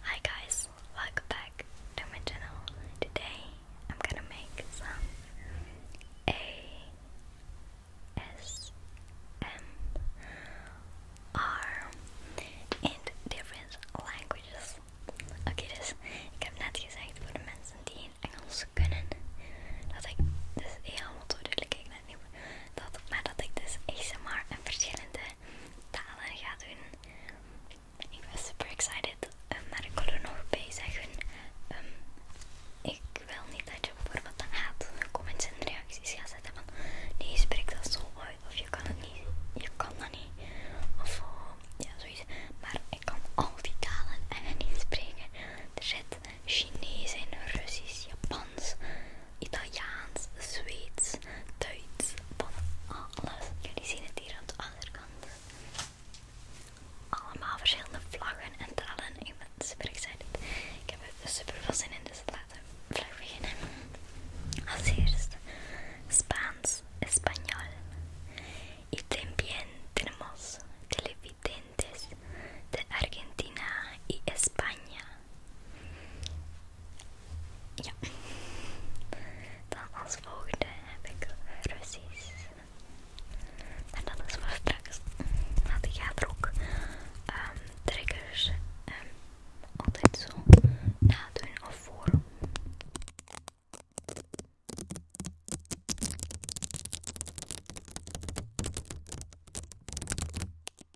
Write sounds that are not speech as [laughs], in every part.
Hi guys, welcome back to my channel. Today I'm gonna make some R in different languages. Oké, dus ik heb net gezegd voor de mensen die in Engels kunnen, dat ik dus helemaal ik net niet, dat, maar dat ik dus ASMR en verschillende talen gaan doen. Ik ben super excited, eh, maar ik wil er nog bij zeggen. Ehm, ik wil niet dat je voor wat dan haat comments en reacties gaat zetten van nee, je spreekt dat zo uit of je kan het niet, je kan dat niet. Of eh, ja, zoiets. Maar ik kan al die talen en niet spreken. Er zit Chinees en Russisch, Japans, Italiaans, Zweeds, Duits, van alles. Jullie zien het hier aan de andere kant. Allemaal verschillende vlaggen en talen. Ik ben super excited. Ik heb super veel zin in, dus laten we beginnen. Als eerst Spaans, Español. Y también tenemos televidentes de Argentina y España. Ja. Dan als volgende heb ik Russies en dat is voor straks. Want ik ga er ook ehm, triggers ehm, altijd zo naden of voor.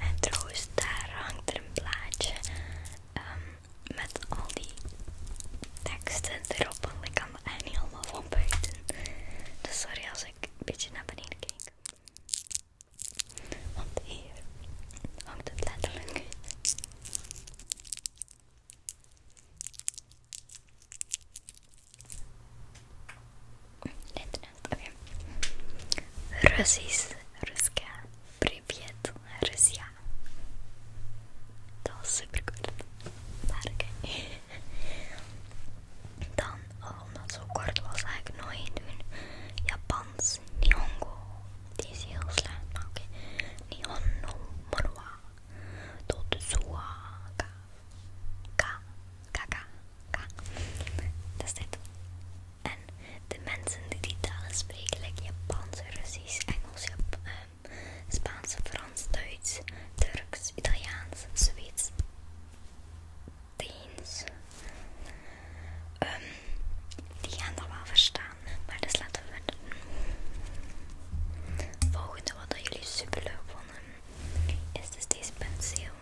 En trouwens, daar hangt er een plaatje ehm, met al die teksten erop, want ik kan het eigenlijk niet allemaal van buiten. Dus sorry als ik een beetje naar beneden kijk. Want hier hangt het letterlijk okay. Russisch, Ruska, Privet, Russia. Dat was super kort. Maar oké. [laughs] Dan, oh, omdat het zo kort was, ga ik doen. Japans, Nihongo. Die is heel slecht, maar oké. Nihon no Monwa. Totsuwa. Ka. Ka. Ka. Ka. Dat is dit. En de mensen die die talen spreken, like Japans, Russisch, Engels, ehm, Spaanse, Frans, Duits, Turks, Italiaans, Zweeds, Deens. Ehm, die gaan dat wel verstaan, maar dus laten we Volgende wat jullie super leuk vonden, is dus deze penseel.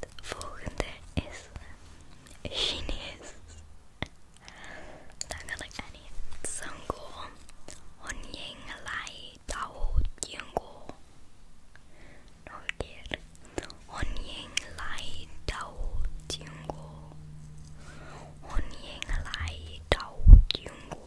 Het volgende is eh, Chinees. Dan ga ik aan je On ying lai tao tiango. Nog een keer. Honjing lai tao On Honjing lai tao tiango.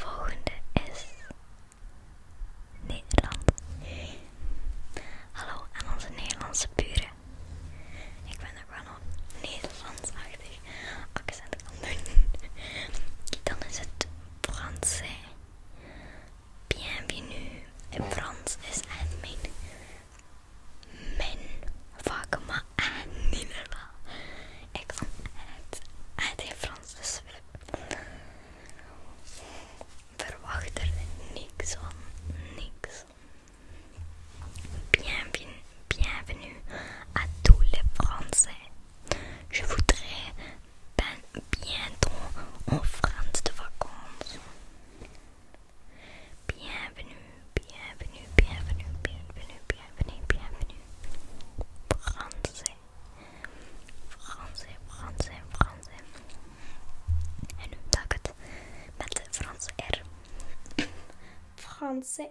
Volgende is Nederland. Hallo aan onze Nederlandse buren. Ik ben er wel een Nederlands-achtig accent aan doen. Dan is het français. Bienvenue. En Frans is admin mijn, mijn vak, maar niet normaal. Ik kom uit, uit Frans, dus verwacht er niks van, niks. Bienvenue, bienvenue à tous les Français. Je voudrais ben bientôt en France de vacances. Bienvenue, bienvenue, bienvenue, bienvenue, bienvenue, bienvenue. Français, français, français, français. Et nous taget met le français R. Français.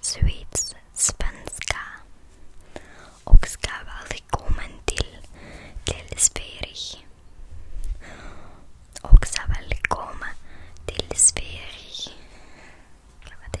Sweets Spanska. Okska välkommen till Sverige. Oksa välkommen till Sverige. det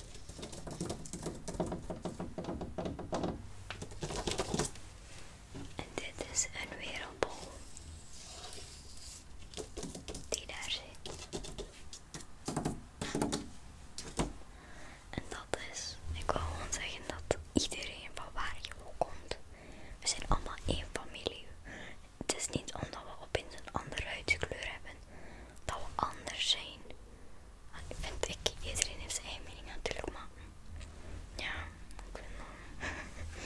En dit is een wereldbol die daar zit. En dat is, ik wil gewoon zeggen dat iedereen van waar je ook komt, we zijn allemaal één familie. Het is niet omdat we opeens een andere huidskleur hebben dat we anders zijn. En vind, ik, iedereen heeft zijn eigen mening natuurlijk, maar ja, ik vind dat.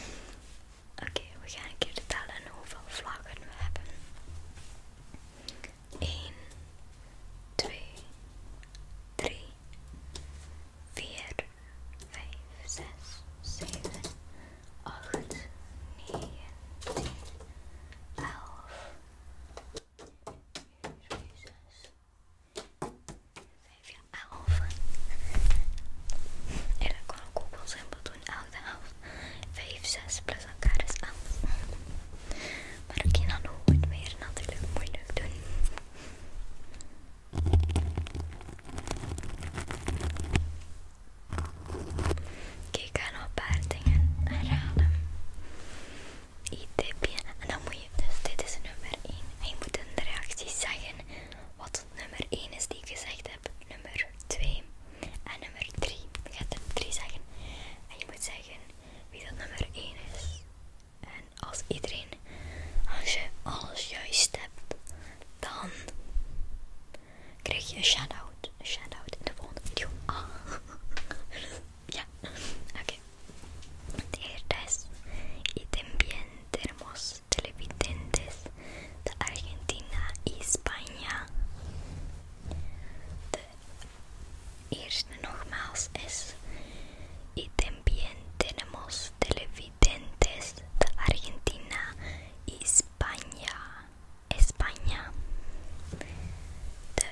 [laughs] Oké, we gaan een keer tellen hoeveel vlaggen we hebben. 1, 2, 3, 4, 5, 6, 7, 8, 9, 10, 11, elf. En dan kan ik ook wel simpel doen, elke helft. Vijf, zes plus elkaar is elf. Maar ik kan dan ook het meer natuurlijk moeilijk doen. Kijk, ik ga nog een iets tipje. En dan moet je, dus dit is nummer 1. En je moet in de zeggen wat nummer 1 is die ik gezegd heb. Nummer 2 en nummer 3. Je gaat er 3 zeggen. En je moet zeggen wie dat nummer 1 is. En als iedereen, als je alles juist hebt, dan krijg je een shout-out. Een shout-out in de volgende video. Ah. [laughs] Ya, okay y también tenemos televidentes de Argentina y España. De Irse Y también tenemos televidentes de Argentina y España. España.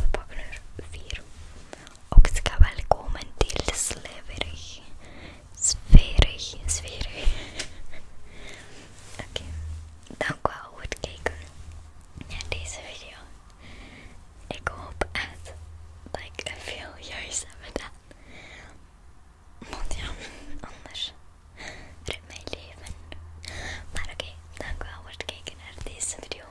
We pakken er vier. Ook het gaat wel komen, deel slijverig. Sferig, sferig. [laughs] Oké, dank wel voor het kijken naar deze video. Ik hoop echt dat ik veel juist heb gedaan. Want ja, anders mijn leven. Maar oké, okay, dankjewel voor het kijken naar deze video.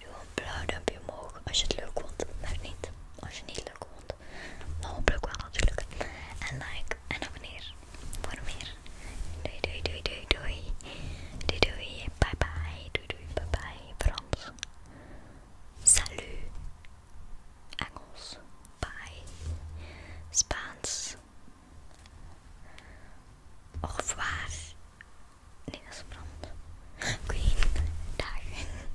Doe een blauw duimpje omhoog als je het leuk vond, maar niet als je niet leuk vond. Maar hopelijk wel natuurlijk. En like en abonneer voor meer. Doei doei doei doei doei. Doei doei, bye bye. Doei doei, bye bye. Frans. Salut. Engels. Bye. Spaans. Och, waar? Nee, dat is brand. Queen, dagen.